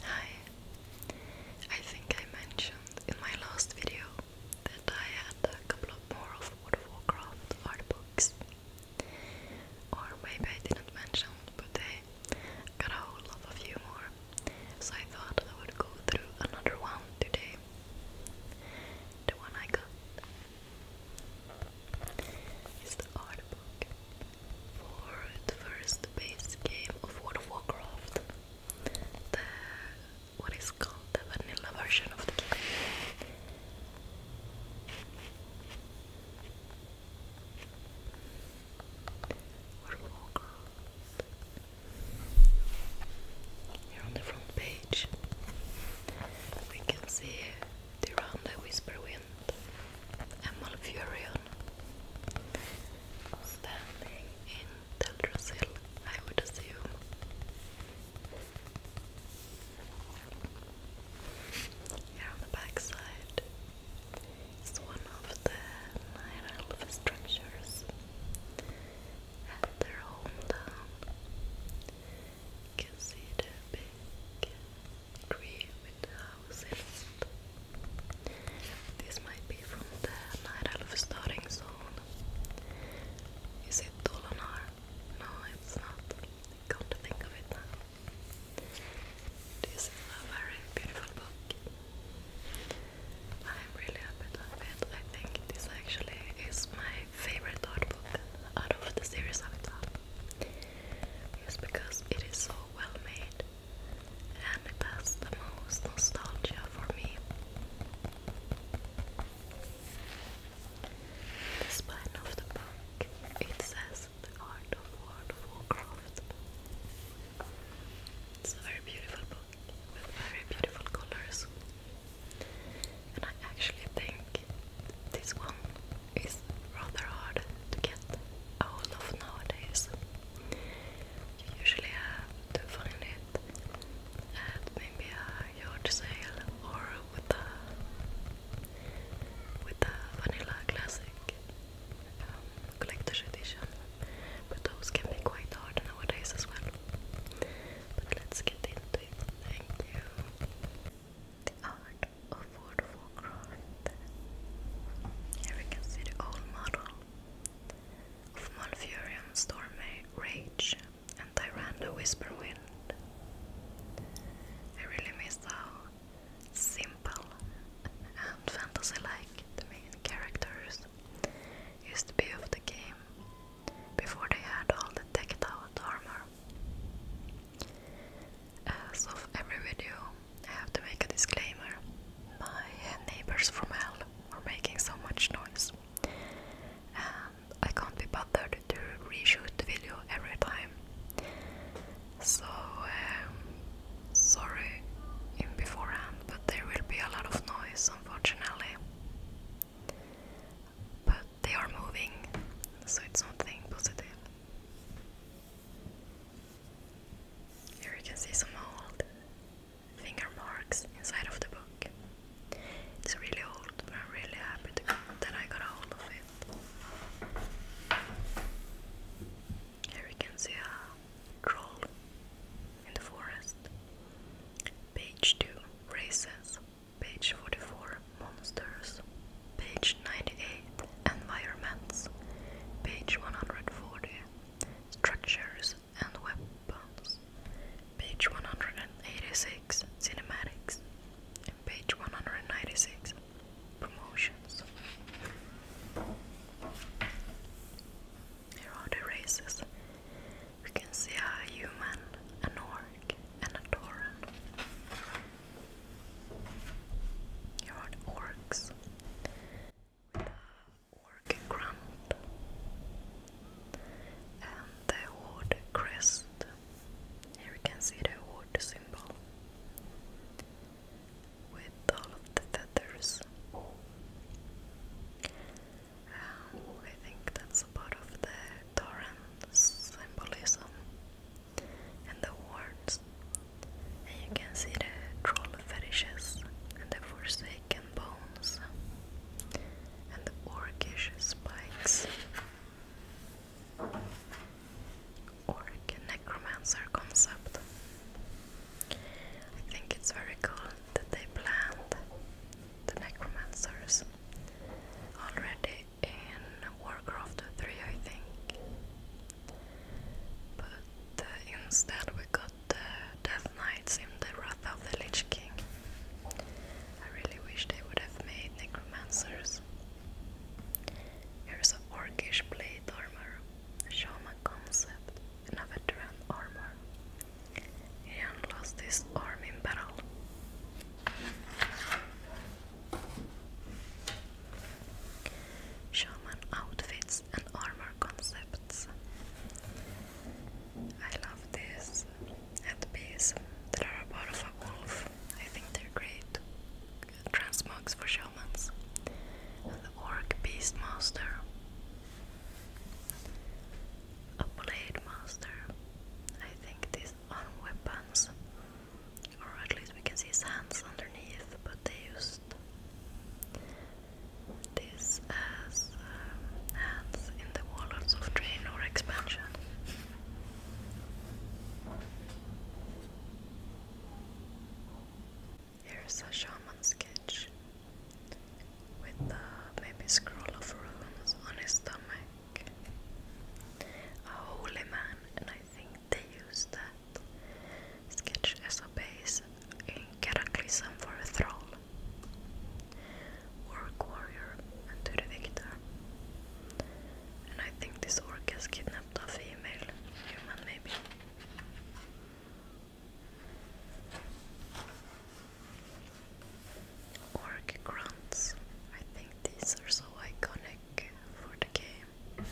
Hi. I think I mentioned in my last video that I had a couple of more of World art books. Or maybe I didn't mention, but I got a whole lot of few more. So I thought I would go through another one today. The one I got is the art book for the first base game of World of Warcraft. The what is called the vanilla version of the game. World of on the front page we can see the Round the Whisper standing in Teldrassil, I would assume. Here on the backside is one of the Night Elf structures at their hometown. can see the big tree with this might be from the Nyralf starting zone. Is it Dolonar? No, it's not. can't think of it now. This is a very beautiful book. I'm really happy to have it. I think this actually is my favorite art book out of the series I've done. It's because it is so well made and it the most nostalgia for me. the spine of the book, it says the art of World of It's a very beautiful book with very beautiful colors. And I actually think this one is rather hard to get out of nowadays you usually have to find it at maybe a yard sale or with a with a vanilla classic um, collector's But those can be quite hard nowadays as well. But let's get into it. Thank you. The art of waterfall craft. Here we can see the old model of Malfurion, Stormy Rage, and Tyrande Whisperwind. I really miss how simple and fantasy-like the main characters used to be of the game before they had all the decked out armor. As of every video, I have to make a disclaimer. My neighbors from hell are making so much noise, and I can't be bothered to reshoot the video every time. So, um, sorry in beforehand, but there will be a lot of noise unfortunately. But they are moving, so it's something positive. Here you can see some old finger marks inside of the book. It's really old, but I'm really happy that I got a hold of it. Here you can see a troll in the forest. Page 2 Races. Page 44 Monsters. Page 98 Environments. Page 140 structures, and weapons. Page 186 Cinematics page 196 Promotions. Here are the races. We can see a human, an orc, and a tauren. Here are orcs with working crumb and the wood crest. Here we can see the wood symbol with all of the feathers. Um, I think that's part of the torrent symbolism and the horns and you can see the troll fetishes and the forsaken bones and the orcish spikes. Orc necromancer concept. I think it's very cool that they planned the necromancers already in Warcraft 3, I think. But uh, instead, we got the Death Knights in the Wrath of the Lich King. I really wish they would have made necromancers. Here's a orcish blade armor, shaman concept, and armor. Ian lost his arm in battle. Shaman outfits and armor concepts. I love this headpiece. They're part of a wolf. I think they're great. Transmogs for shamans. And the orc beast master. A blade master. I think these are weapons. Or at least we can see his hands underneath, but they used this as um, hands in the walls of drain or expansion. Here's a shaman sketch with the maybe scroll of runes on his stomach. A holy man, and I think they use that Sketch as a base in Cataclysm for a throne. Orc warrior and to the victor. And I think this orc has kidnapped a female human, maybe. Orc grunts. I think these are so iconic for the game.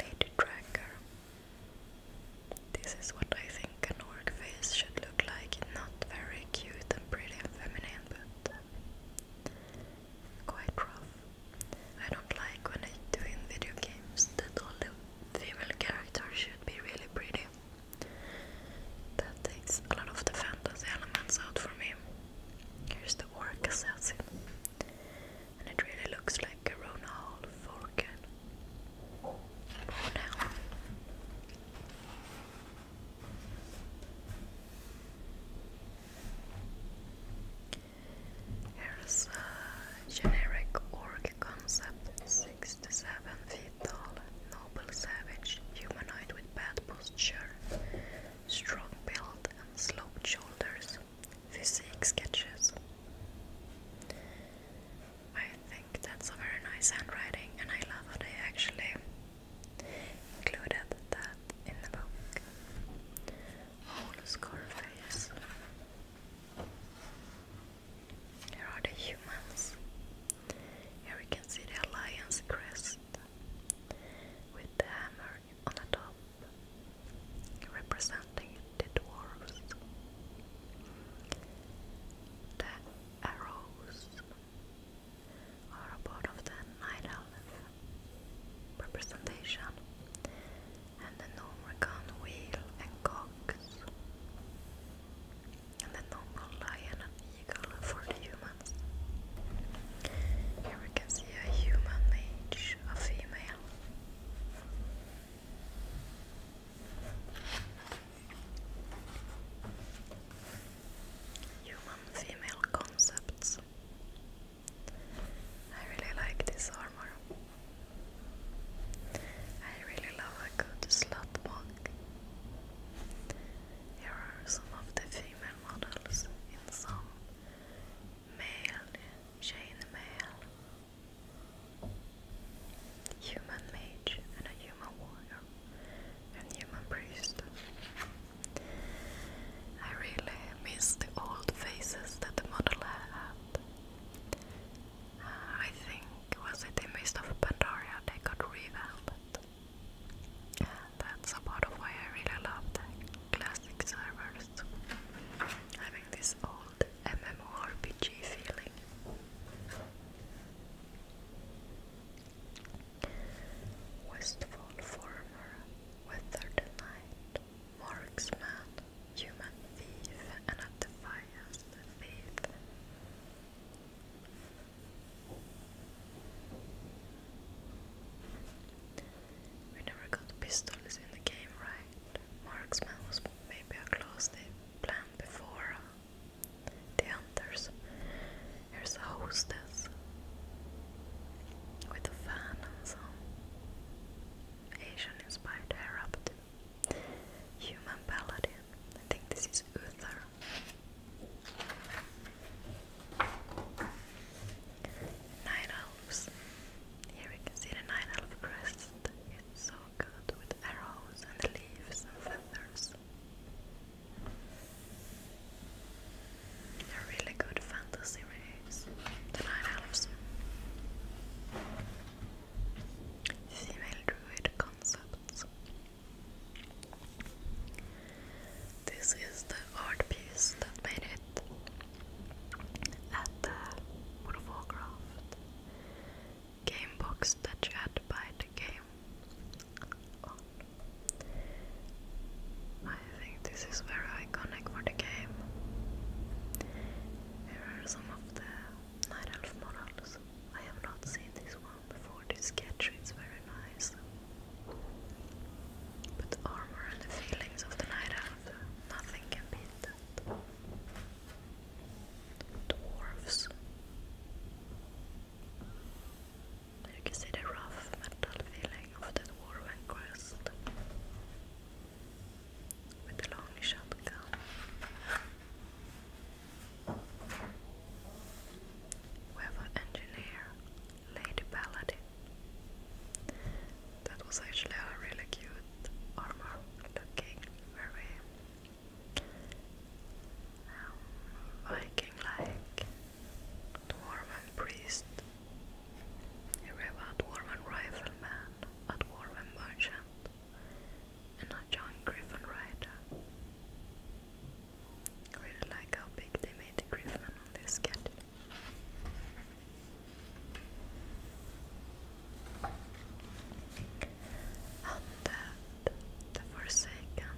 Lady Tracker. This is what I think an orc face should look like. Not very cute and pretty and feminine, but uh, quite rough. I don't like when I do in video games that all the female characters should be really pretty. That takes a lot of the fantasy elements out for me. Here's the orc assassin and it really looks like Corona Hall Forken. Here's a generic org concept, 6 to 7 feet tall, noble savage, humanoid with bad posture, strong build sloped shoulders, physique sketches. I think that's a very nice handwriting, and I love how they actually included that in the book. Whole oh, Scarface. Here are the humans. Here we can see the Alliance crest with the hammer on the top representing the dwarves. The arrows are a part of the night representation, and the Nomrican wheel and cox, and the normal lion and eagle for the humans. Here we can see a human mage, a female. Human female concepts. I really like this armor. I really love a good slot mock. Here are some of the female models in some male, chain male, human mage and a human warrior and human priest. I really miss the old faces that the model had. Uh, I think was it the Mist of Pandaria they got revamped. And that's a part of why I really love the classic servers. Having this old MMORPG feeling. Westfall Farmer, Weathered Knight, Marksman, Human Thief, and a Defiance Thief. We never got pistols in the game, right? Marksman was maybe a class they planned before uh, the hunters. Here's a hostess with a fan and some Asian-inspired hair human paladin. I think this is Uther. Night elves. Here we can see the night elf crest. so with arrows and leaves and feathers. they really good fantasy rays, the Night Elves. Female Druid Concepts. This is the art piece that made it at the World game box that you had to buy the game oh. I think this is very iconic for the game. Here are some of the Night Elf models. I have not seen this one before. This sketch is very nice. But armor and the feelings of the Night Elf, nothing can beat that dwarves. You can see the rough metal feeling of the dwarven crest with the long shotgun. We have an engineer, Lady Paladin. That was actually a really cute armor not looking very Viking um, like. Dwarven priest, a dwarven rifleman, a dwarven merchant, and a John Griffin rider. really like how big they made the Griffin on this cat. Undead, the Forsaken.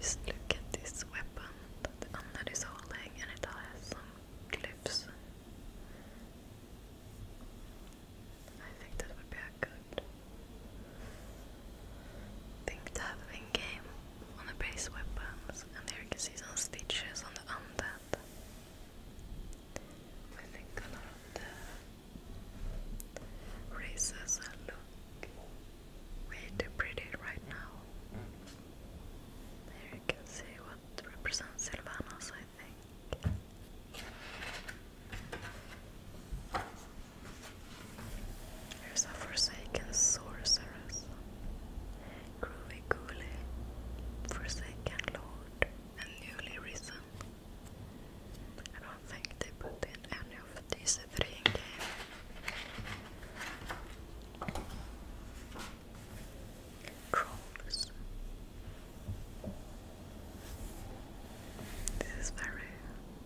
Just look at this weapon the undead is holding, and it has some clips. I think that would be good thing to have in game on the base weapons, and there you can see some stitches on the undead. I think a lot of the races look way too pretty right now. There you can see what represents Sylvanas, I think. Here's a Forsaken Sorceress. Groovy Ghoulie. Forsaken Lord and newly risen. I don't think they put in any of these three in This is very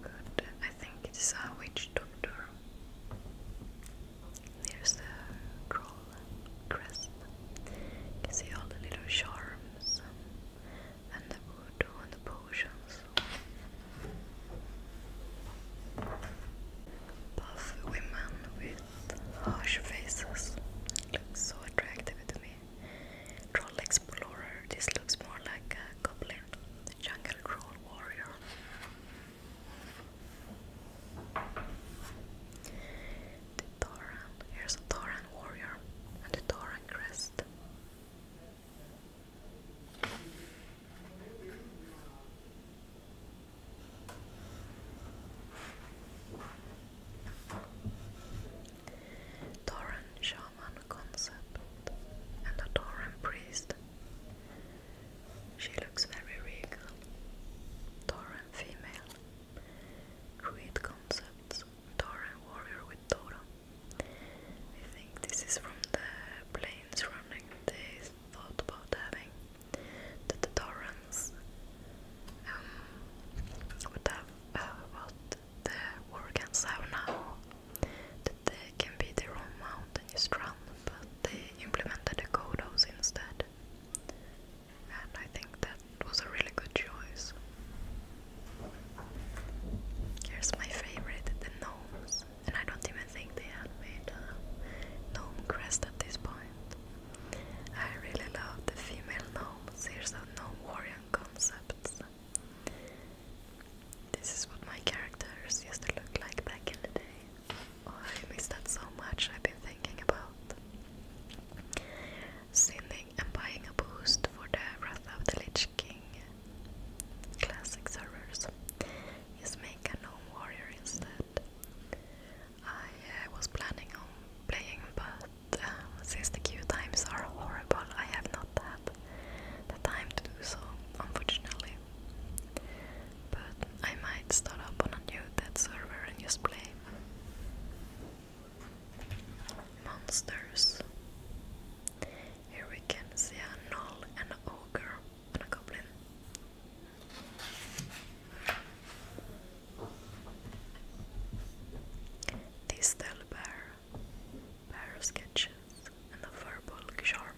good. I think it is a witch doctor. There's the crow crisp. You see all the little charms and the voodoo and the potions. Buff women with harsh faces. Looks so attractive to me. Troll explorer. This looks more like a goblin. The jungle troll warrior the Thoran. Here's a Thoran warrior and a Thoran crest. Thoran shaman concept and a Thoran priest. She looks very regal. Thoran female Create concepts, Torah and warrior with Torah. I think this is from the planes running. days. thought about having the Torans um, would have what uh, the Wargans have now, that they can be their own mountainous run, but they implemented the codos instead and I think that was a really good choice. Here's my favorite, the gnomes, and I don't even think they had made a gnome crest at this point. I really love the female gnomes. Here's a gnome warrior concepts. This is what my characters used to look like back in the day. Oh, I miss that so much. I've been thinking about Sinning and buying a boost for the Wrath of the Lich King classic servers is make a warrior instead. I uh, was planning on playing but um, since the queue times are horrible I have not had the time to do so unfortunately. But I might start up on a new dead server and just play monsters. Here we can see a gnoll, an ogre, and a goblin. Distel Bear, Bear Sketches, and a Verbal Charman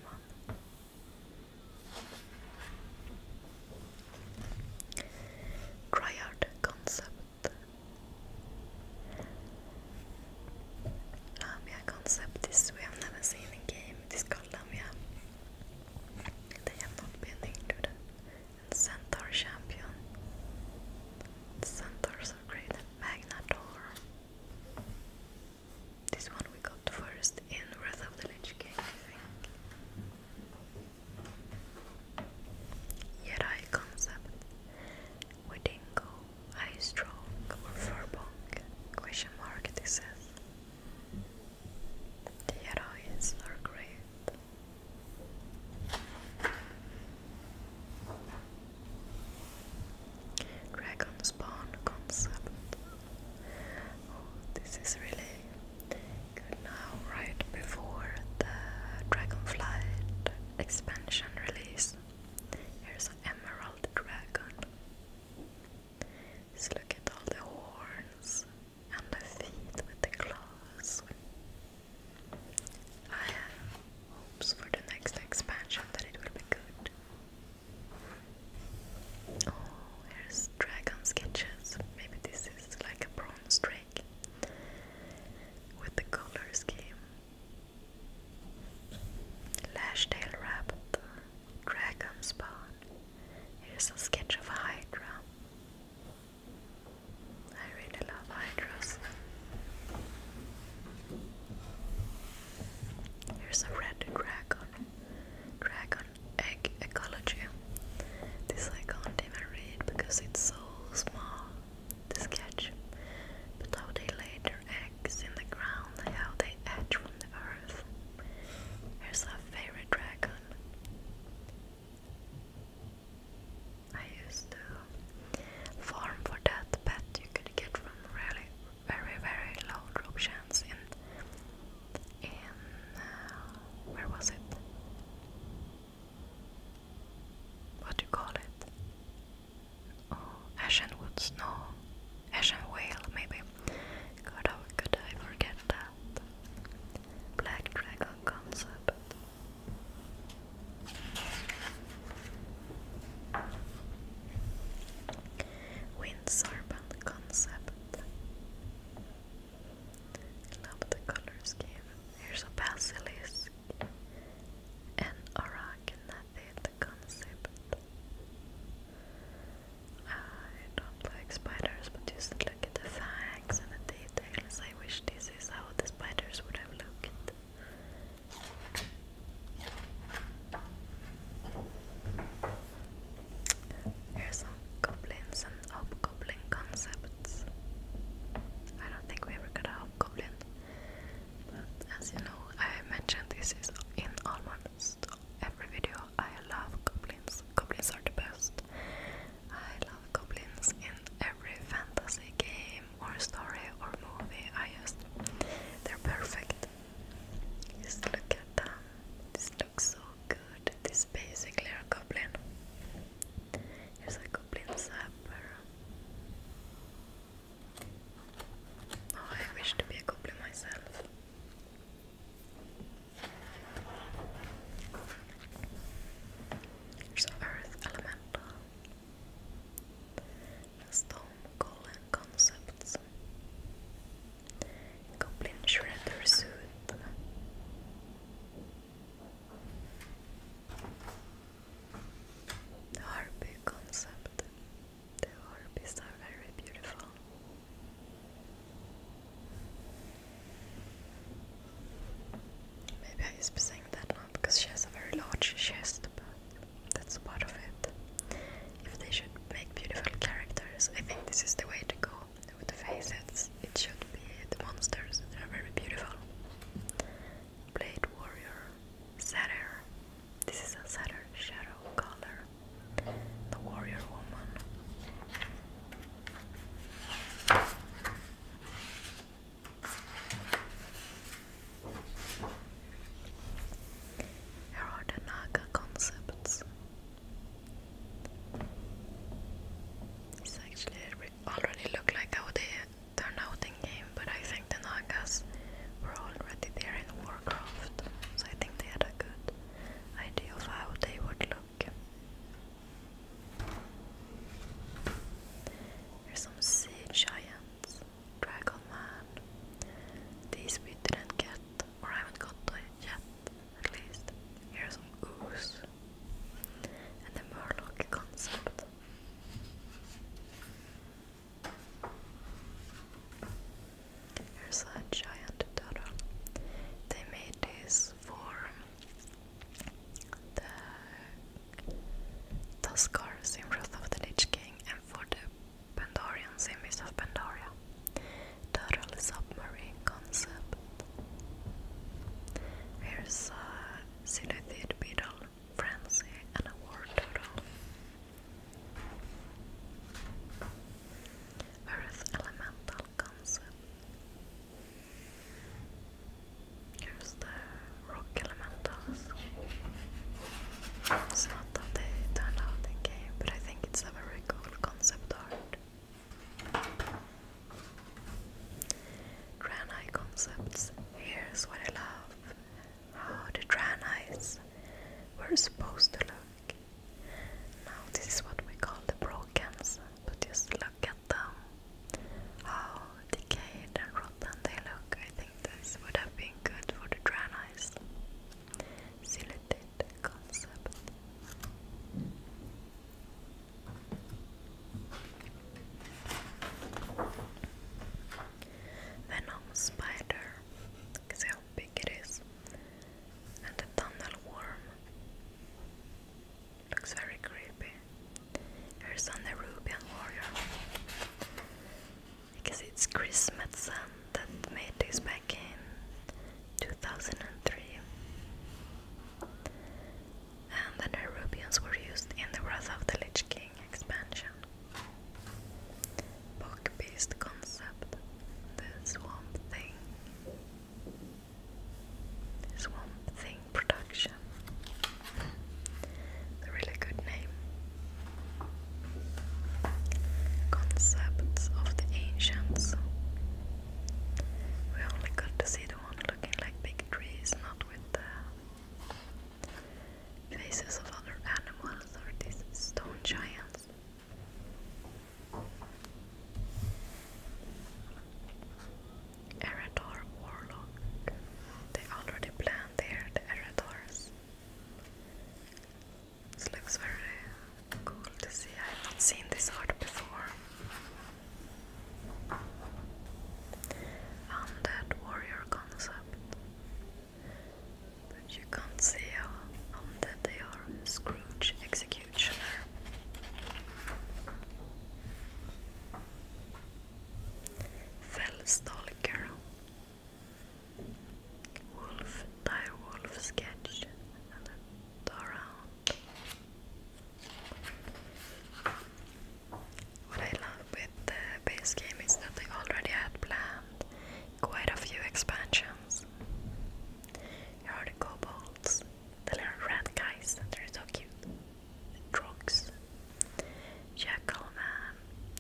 triad concept. Lamia concept is we have never seen in game. It is called Lamia. They have not been included. And Centaur champion. Centaurs are great. Magnator. This one we got first in Wrath of the Lich King, Yerai concept Wedingo Ice strong or furbong question mark it says The heroines are great Dragon concept Oh this is really Good now, right before the Dragonflight expansion release, here's emerald dragon. Just look at all the horns and the feet with the claws. I have hopes for the next expansion that it will be good. Oh, here's dragon sketches. Maybe this is like a bronze dragon like with the color scheme. Lashtail Rabbit, Dragon Spawn. Here's a sketch of a Hydra. I really love Hydras. Here's a red dragon. Dragon egg ecology. This I can't even read because it's so small, the sketch. But how they laid their eggs in the ground how they hatch from the earth. Here's our favorite dragon. I used to farm for that pet you could get from really very very low drop in in uh, where was it? what do you call it? Oh, Snow, Ashen Whale, maybe. God, how could I forget that? Black Dragon concept. Wind concept love the color scheme. Here's a basilisk and arachnatid concept. I don't like spiders, but just look at the facts and the details. I wish this is how the spiders would have looked. Here's some goblins hobgoblin concepts. I don't think we ever got a hobgoblin, but as you know, I mentioned this in almost every video. I love goblins. Goblins are the best. I love goblins in every fantasy game or story or movie. I just they're perfect. Just look at them. This looks so good. This basically a goblin. Here's a goblin sapper. Oh, I wish to be a goblin myself. There's earth elemental. Storm golem concepts. Goblin shredder suit harpy concept. The harpies are very beautiful. Maybe I used to saying that now because she has a very large chest, but that's part of it. If they should make beautiful characters, I think this is the way to go with the faces it should be the monsters, they're very beautiful. Blade Warrior, Satyr, this is a Satyr shadow color. The Warrior Woman. Here are the Naga concepts. It's actually already look like how they turn out in game, but I think the Nagas were already there in Warcraft, so I think they had a good idea of how they would look. There's some sea giants, dragon man. These we didn't get, or I haven't got yet, at least. Here's some ooze and the Murloc concept. Here's a giant turtle. They made this for the Tuskars in Wrath of the Lich King and for the Pandorians in Mist Pandoria. Turtle submarine concept. Here's a Cynethid Beetle, Francie, and a War Turtle. Earth Elemental Concept. Here's the rock elementals. It's not that they turned out in game, but I think it's a very cool concept art. Tranai concepts. Here's what I love how the Tranais were supposed to look. Now, this is what we call the brokens, but just look at them. How decayed and rotten they look. I think this would have been good for the Tranais. Silicate concept. Venom spider, see how big it is, and a tunnel worm. Looks very creepy. Here's on the warrior. I it's Chris Metzen that made this back in 2003 and the Nerubians were used in the Wrath of the Lich King expansion. Book beast concept, the Swamp Thing. Swamp Thing production. A really good name. Concepts of the ancients. We only got to see the one looking like big trees, not with the faces of other animals or these stone giants. Erador Warlock. They already planned there the Eradors. This looks very cool to see. I have not seen this art before. Undead warrior concept. you can't see how undead they are. Scrooge executioner. Fellstalker. Wolf, dire wolf sketch, and a around. What I love with the base game is that they already had planned quite a few expansions. the kobolds, the little rat guys, they're so cute. The drugs.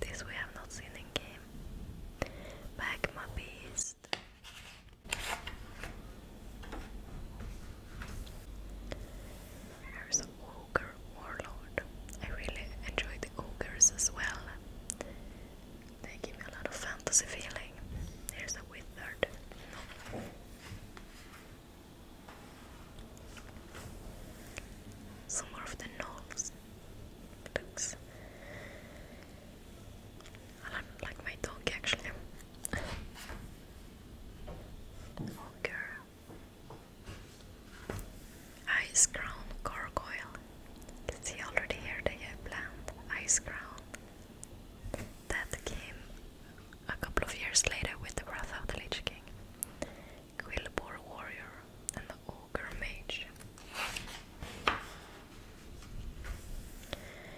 this we have not seen in game. Magma beast. Ogre Warlord. I really enjoy the ogres as well. They give me a lot of fantasy feeling. There's a wizard. No. Some more of the knolls books. I like my dog actually. Ogre Ice Crown Gargoyle. You can already here they have planned Ice Crown. That came a couple of years later with the Wrath of the Lich King. Quillbore Warrior and the Ogre Mage.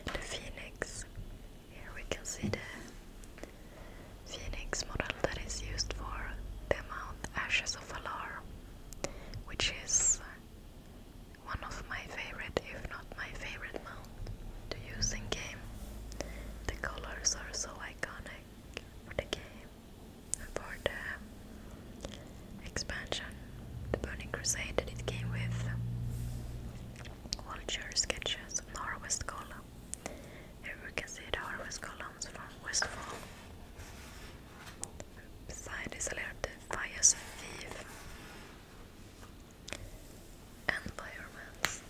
The Phoenix. Here we can see the Phoenix model that is used for the Mount Ashes of Valar, which is one of my favorite, if not my favorite mount to use in game. The colors are so iconic for the game and for the expansion, the Burning Crusade that it came with. Vulture sketches and harvest column. Here we can see the harvest columns from Westfall. Beside isolerade Fias Vive environments.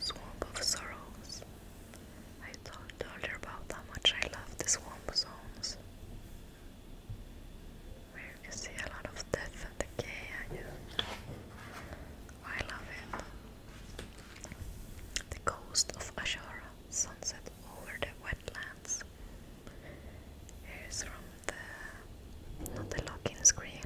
Swamp of Sorrows. I talked earlier about how much I love the swamp zones. Where you see a lot of death and decay, and you, I love it. The coast of Ashara, sunset over the wetlands. Here's from the not the login screen,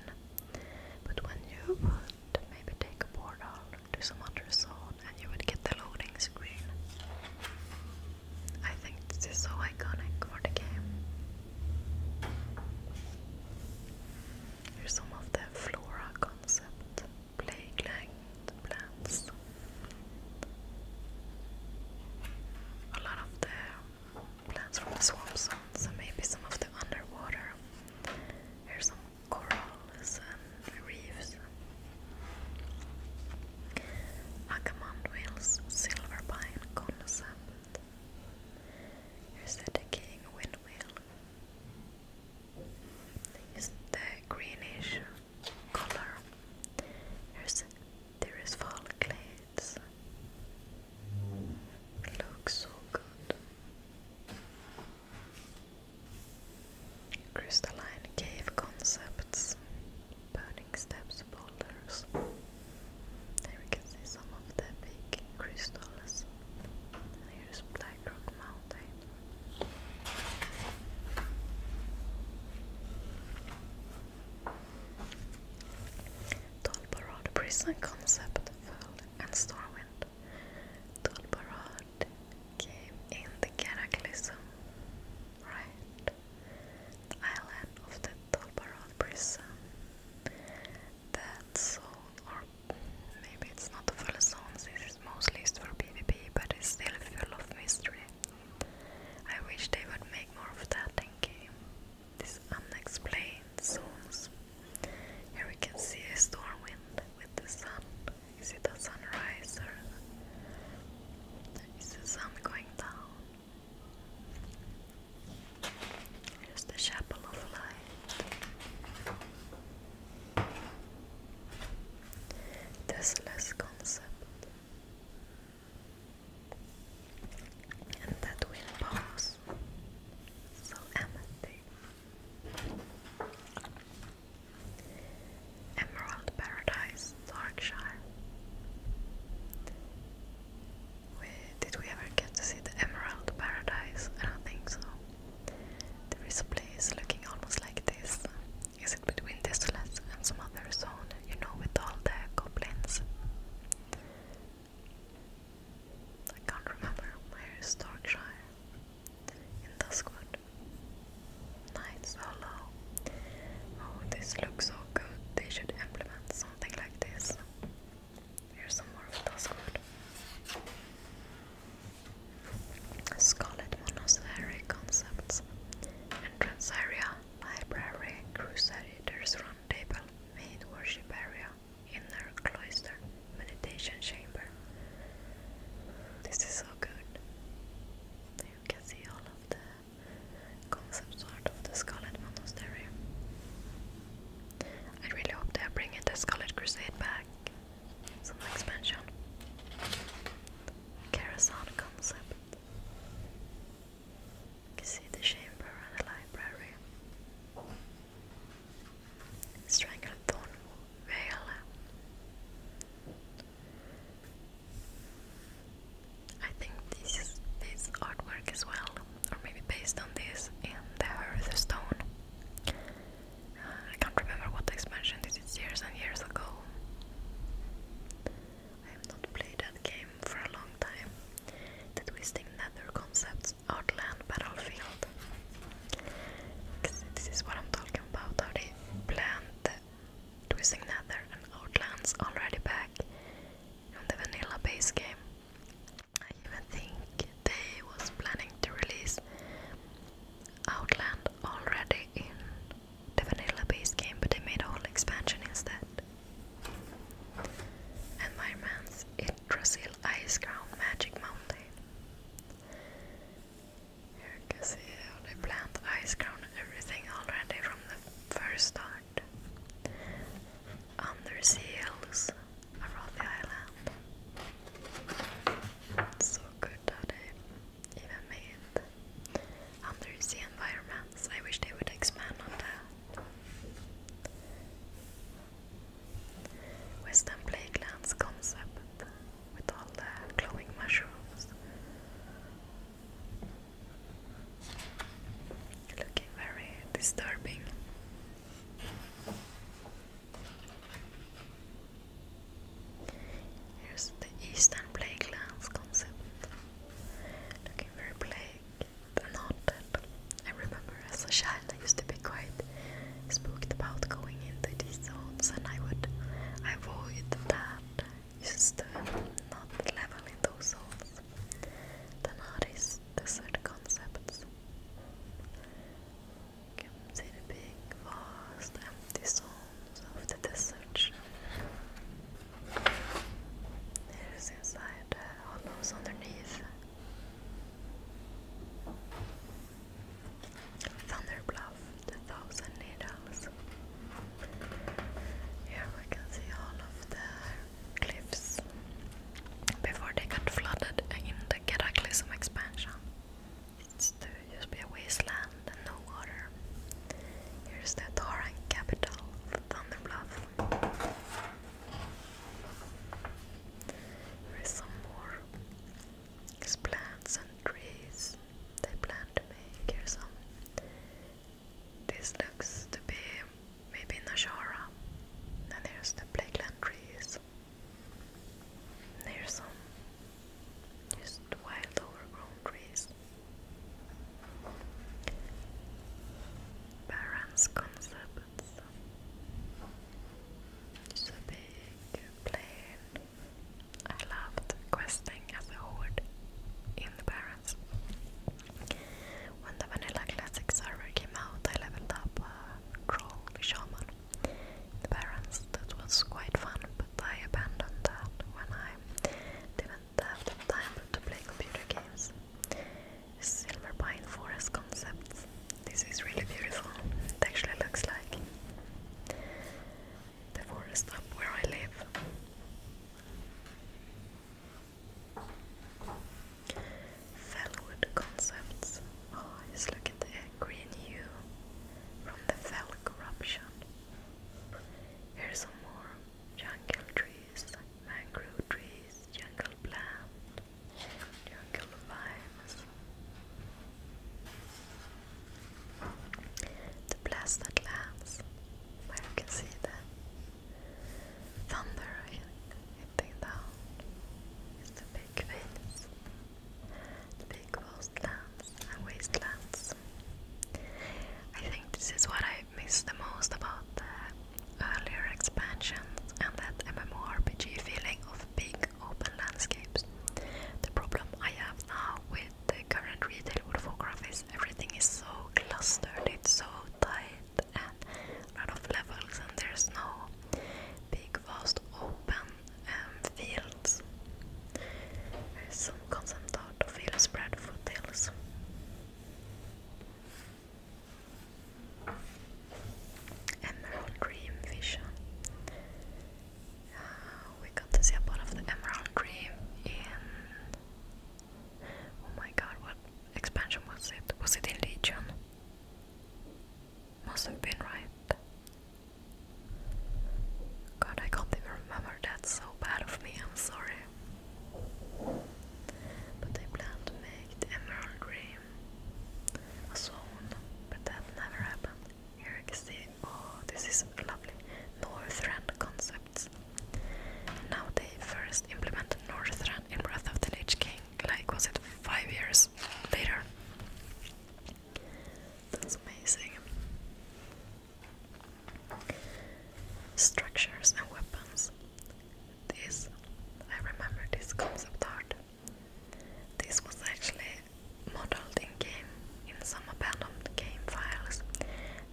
but when you would maybe take a portal to some other zone, and you would get the loading screen. I think this is so iconic for the game. Here's some of the flora concept, playground plants. A lot of the plants from the swamp zones and maybe some of the underwater. Here's some corals and reefs. Agamon whales, silver pine, cone Saturn Sabbath. Here's windmill. Here's the greenish color. Here's there is fall glades. Looks so good. Crystalline cave concepts burning steps boulders. There we can see some of the big crystals. here's Black Mountain. Tolbarad Prison Concept Fold and Stormwind. Tolbarad came in the Cataclysm, right? island of the Tolbarot prison. That zone, or maybe it's not a full zone, this is mostly used for PvP, but it's still full of mystery. I wish they would make more of that in game. These unexplained zones. Here we can see a storm with the sun. Is it a sunrise or is the sun going down? Here's the Chapel of Light. This less concept. And that wind pause. So empty. Emerald Paradise, Darkshire did we ever get to see the Emerald Paradise? I don't think so. There is a place looking almost like this. Is it between Desolate and some other zone, you know, with all the goblins? I can't remember. Where is Darkshire? In Duskwood. Night's Hollow. Oh, this looks so good. They should implement something like this. Here's some more of those good. Scarlet Monosahari Concepts. Entrance area, library, crusaders roundtable, main worship area, inner cloister, meditation chamber. This is so good. You can see all of the concept art of the Scarlet Monastery. I really hope they're bringing the Scarlet Crusade back. Some expansion. Karazhan concept. You see the chamber and the library. Strangled Thorn Vale. I think this is this artwork as well, or maybe based on this in the Earth Stone. Uh, I can't remember what expansion this is years and years ago. I have not played that game for a long time. The Twisting Nether Concepts Outland Battlefield. This is what I'm talking about, how they Twisting Nether and Outlands already back on the vanilla base game. I even think they was planning to release Outland already in the vanilla base game, but they made a whole expansion instead. And my Ice Crown Magic Mountain. Here you can see how they planned Ice Crown everything already from the first start port. Undersea hills around the island. so good that they even made undersea environments. I wish they would expand on that. Western Plaguelands concept with all the glowing mushrooms. Looking very disturbing. Here's the eastern plague concept. Looking very plague haunted. I remember as a child I used to be quite spooked about going into these zones and I would avoid that. just to not level in those zones. Den har reisdessert concepts. Comes in big, vast, empty zones of the desert. Here's inside the hollows underneath. Thunderbluff, the Thousand Needles. Here we can see all of the cliffs before they got flooded in the Cataclysm expansion. It's to just be a wasteland and no water. Here's the Taran capital, Thunderbluff. Here's some more There's plants and trees they plan to make. Here's some. This looks to be maybe in Ashara. And there's the Blakeland trees. There's some just wild overgrown trees. Baron's concepts. It's a big plain. I loved questing as a horde in the barrens class. When the Vanilla Classic server came out, I leveled up a uh, troll shaman. The Barons, that was quite fun, but I abandoned that when I didn't have the time to play computer games. Silver Forest Concepts. This is really beautiful. It actually looks like the forest where I live. Fellwood Concepts. Oh, just look at the green hue from the fell corruption. Here's some more jungle trees, mangrove trees, jungle plants, jungle vines. The blasted lands, where can see the thunder hitting down. It's the big waves, big wastelands and wastelands. I think this is what I miss the most about the earlier expansions and that MMORPG feeling of big open landscapes. The problem I have now with the current retail World of Warcraft is everything is so clustered, it's so tight, and lot of levels and there's no big vast open um, fields. some concept art of hill spread Emerald Dream Vision. Uh, we got to see a of the Emerald green in. Oh my god, what expansion was it? Was it in Legion? Must have been right. God, I can't even remember. That's so bad of me. I'm sorry. But I plan to make Emerald Dream a zone, but that never happened. Here you see. Oh, this is lovely northern concept. Now they first implemented Northrend in Wrath of the Lich King, like was it five years later? That's amazing. Structures and weapons. This, I remember this concept art. This was actually modeled in game, in some abandoned game files.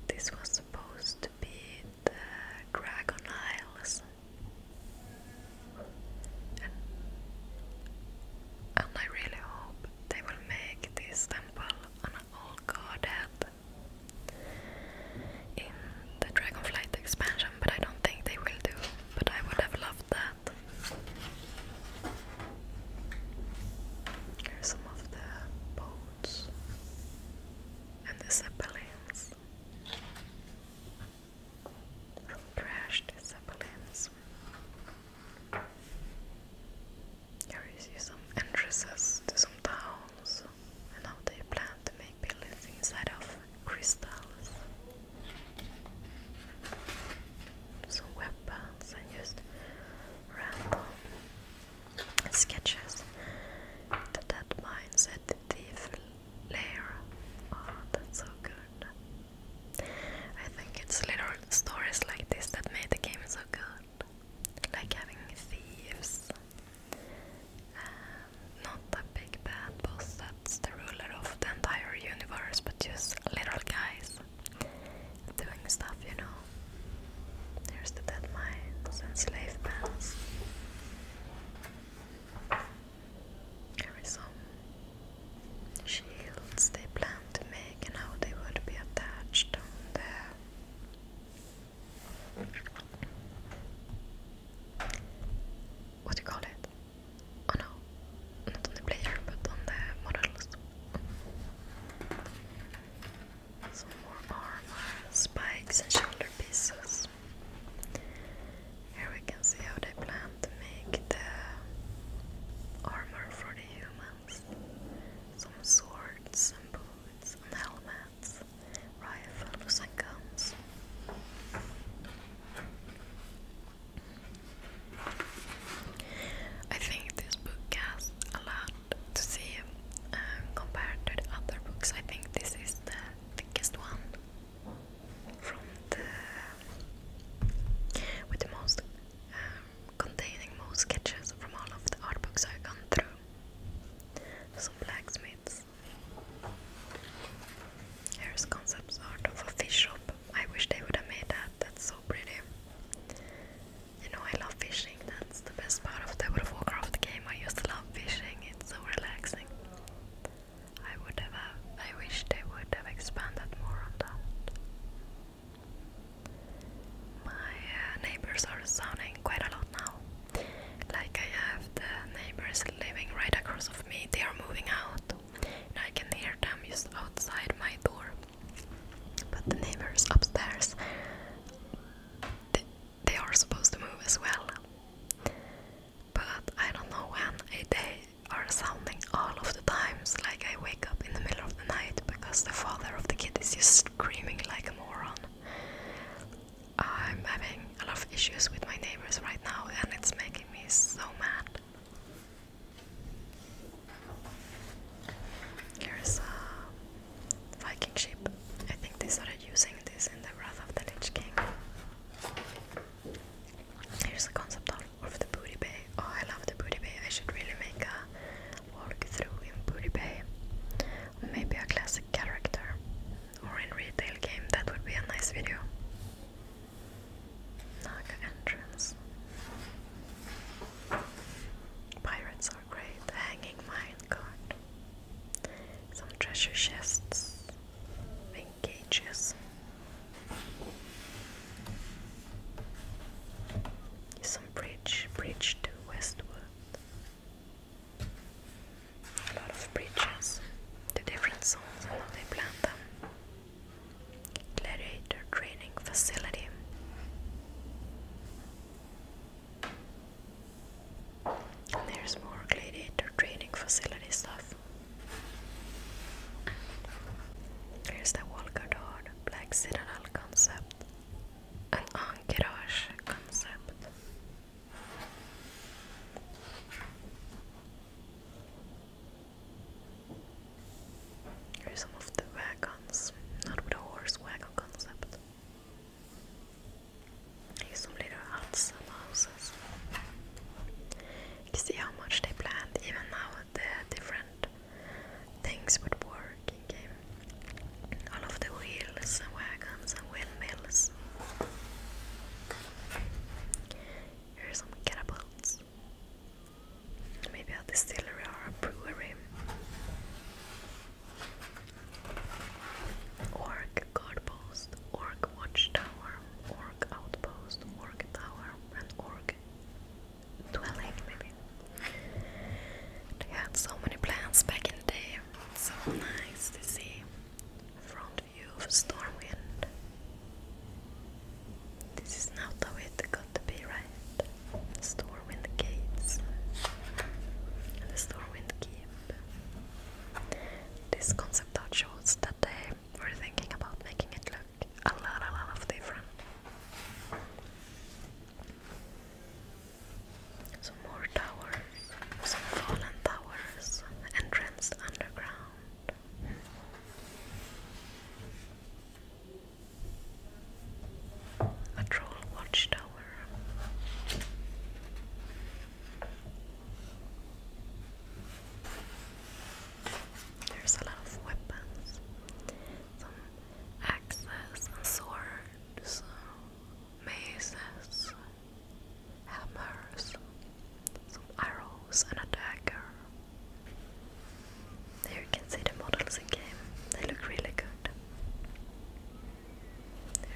This was supposed to be the Dragon Isles. And, I really hope they will make this temple an old godhead in the Dragonflight expansion, but I don't think they will do. But I would have loved that. Here's some of the boats and the zeppelins crashed zeppelins. Here some entrances to some towns and how they plan to make buildings inside of crystals. Some weapons and just random sketches. The dead mine said decorative layer. Oh, that's so good. I think it's little stories like this that made the game so good. Like having thieves. Um, not a big bad boss that's the ruler of the entire universe, but just little guys doing stuff, you know. There's the dead mines and slave pens. Here is some shields they plan to make and how they would be attached on the what do you call it? Oh no, not on the player but on the models. Some more armor, spikes and shoulder pieces. Here we can see how they plan to make the armor for the humans. Some swords and helmets, rifles and guns. I think this book has a lot to see uh, compared to other books. I think this is the thickest one from the with the most um, containing most sketches from all of the art books I've gone through. Some blacksmiths. Here's concepts art of a fish shop. I wish they would have made that. That's so pretty. You know I love fishing. That's the best part of the World of Warcraft game. I used to love fishing, it's so relaxing. I would have, uh, I wish they would have expanded more on that. My uh, neighbors are sounding quite a lot now. Like I have the neighbors living right across of me, they are moving out. And I can hear them just outside my door. But the neighbors upstairs, they are supposed to move as well. But I don't know when eh, they are sounding all of the times. Like I wake up in the middle of the night because the father of the kid is just screaming like a moron. I'm having a lot of issues with my neighbors right now, and it's making me so mad. Here's a uh, Viking ship. I think they started using this in the Wrath of the Lich King. Here's the concept art of the Booty Bay. Oh, I love the Booty Bay. I should really make a walk through in Booty Bay. Maybe a classic character. Or in retail game. That would be a nice video. Naga entrance. Pirates are great. Hanging mine guard some treasure chests and cages. Some bridge, bridge to westward. A lot of bridges to different zones and they plan them. Gladiator training facility there's more gladiator training facility stuff. Here's the Walgador Black Citadel concept and Ankerage concept. Here's some of the wagons, not with the horse wagon concept. These little houses. You see how much they planned, even now the different things would work All of the wheels and wagons and windmills. Here some catapults. Maybe a distillery or a brewery. Orc guardpost, orc watchtower, orc outpost, orc tower, and orc dwelling maybe. They had so many plans back in the day. So nice to see front view of Stormwind. This is not how it got to be, right? Stormwind gates and the Stormwind keep. This concept art shows that they were thinking about making it look a lot, a lot of different. So more towers, some fallen towers, entrance underground. A troll watchtower. There's a lot of weapons, some axes swords, maces, hammers, some arrows and a dagger. There you can see the models in game. They look really good.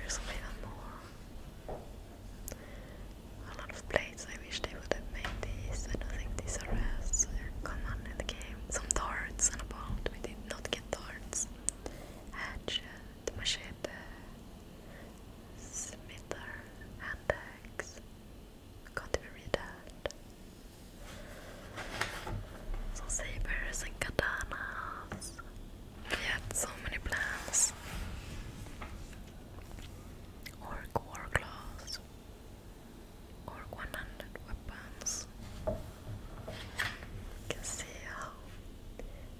There's even more. A lot of blades, I wish they would have made these. I don't think these are as uh, common in the game. Some darts and a bolt, we did not get darts. Hatchet, machete, smither, and axe. read that. Some sabers and katanas. He had so many plans. Orc war class. Orc 100 weapons. You can see how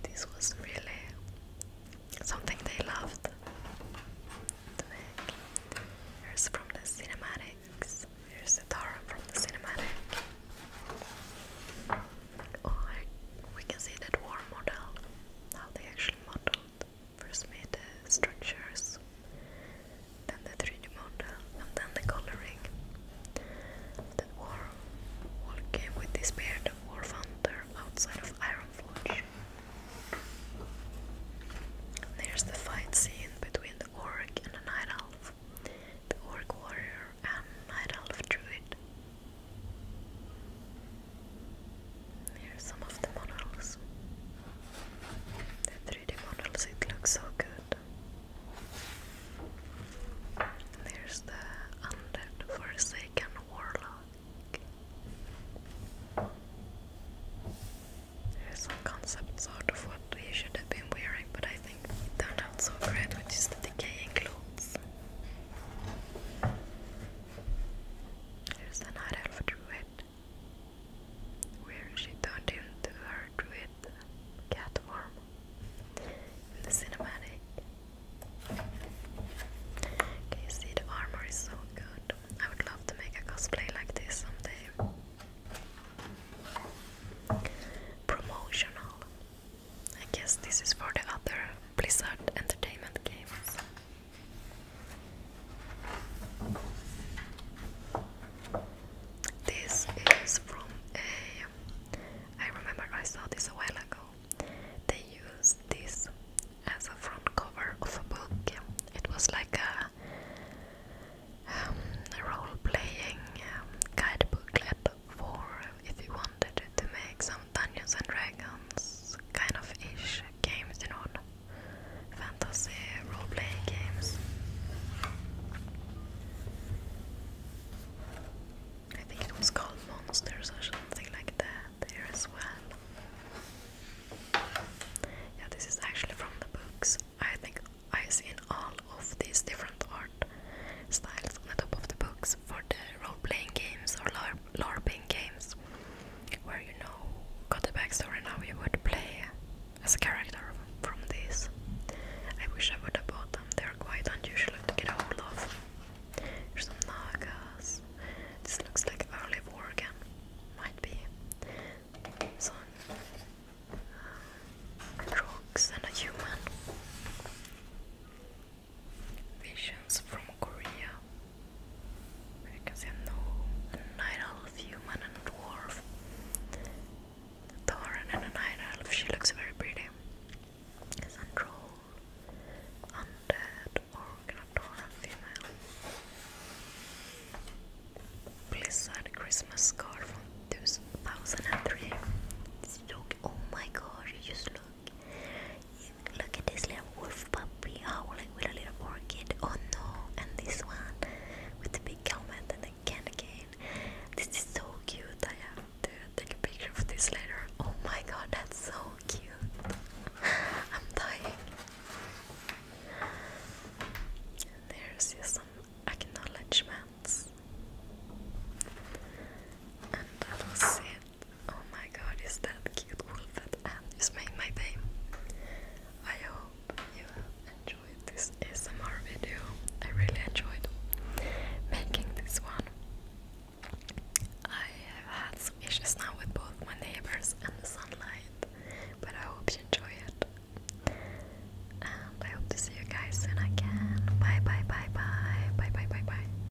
this was really something they loved Here's from the cinematics. Here's the Tara from the cinematic. Or we can see that war model, how they actually modeled. First made the uh, structures, then the 3D model, and then the coloring. That war all came with this spirit of War Thunder outside of Iron Ironforge. There's the fight scene between the orc and the night elf. The orc warrior um, Night Elf Druid. Here some of the models. The 3 models, it looks so good. there's the Undead Forsaken Warlock. There's some concepts out of what you should have been wearing, but I think it turned out so great, which is the decaying clothes. There's an elf druid where she turned into her druid cat form the cinematic. Can you see the armor is so good? I would love to make a cosplay like this someday. Promotional. I guess this is for the other Blizzard Entertainment games. This is from a. I remember I saw this a while ago. They used this as a front cover of a book. It was like a, role playing um, um for if you wanted to make some Dungeons and Dragons kind of ish games, you know, fantasy role-playing games. I think it was called Monsters or something like that there as well. Yeah, this is actually from the books. I think I've seen all of these different art styles on the top of the books is for the role-playing games or LARPing games, where you know got the backstory and how you would play as a character from these. I wish I would have bought them. They're quite unusual to get a hold of. some nagas. This looks like early war again. Might be. Some uh, and a human. Visions from Korea. Because I know a night elf human and dwarf. The and a night elf, she looks very pretty. Is a troll, undead, a Tauren female. Blizzard Christmas card from 2003. oh my god, you just look. Look at this little wolf puppy howling oh, with a little orchid. Oh no! And this one with the big helmet and the can again. This is so cute. I have to take a picture of this later. Oh my god, that's so cute. I'm dying. There's some acknowledgements. And that was it. Oh my god, is that cute Wolfette and um, it's made my day. I hope you enjoyed this ASMR video. I really enjoyed making this one. I have had some issues now with both my neighbors and the sunlight, but I hope you enjoy it. And I hope to see you guys soon again. Bye bye bye bye. Bye bye bye bye.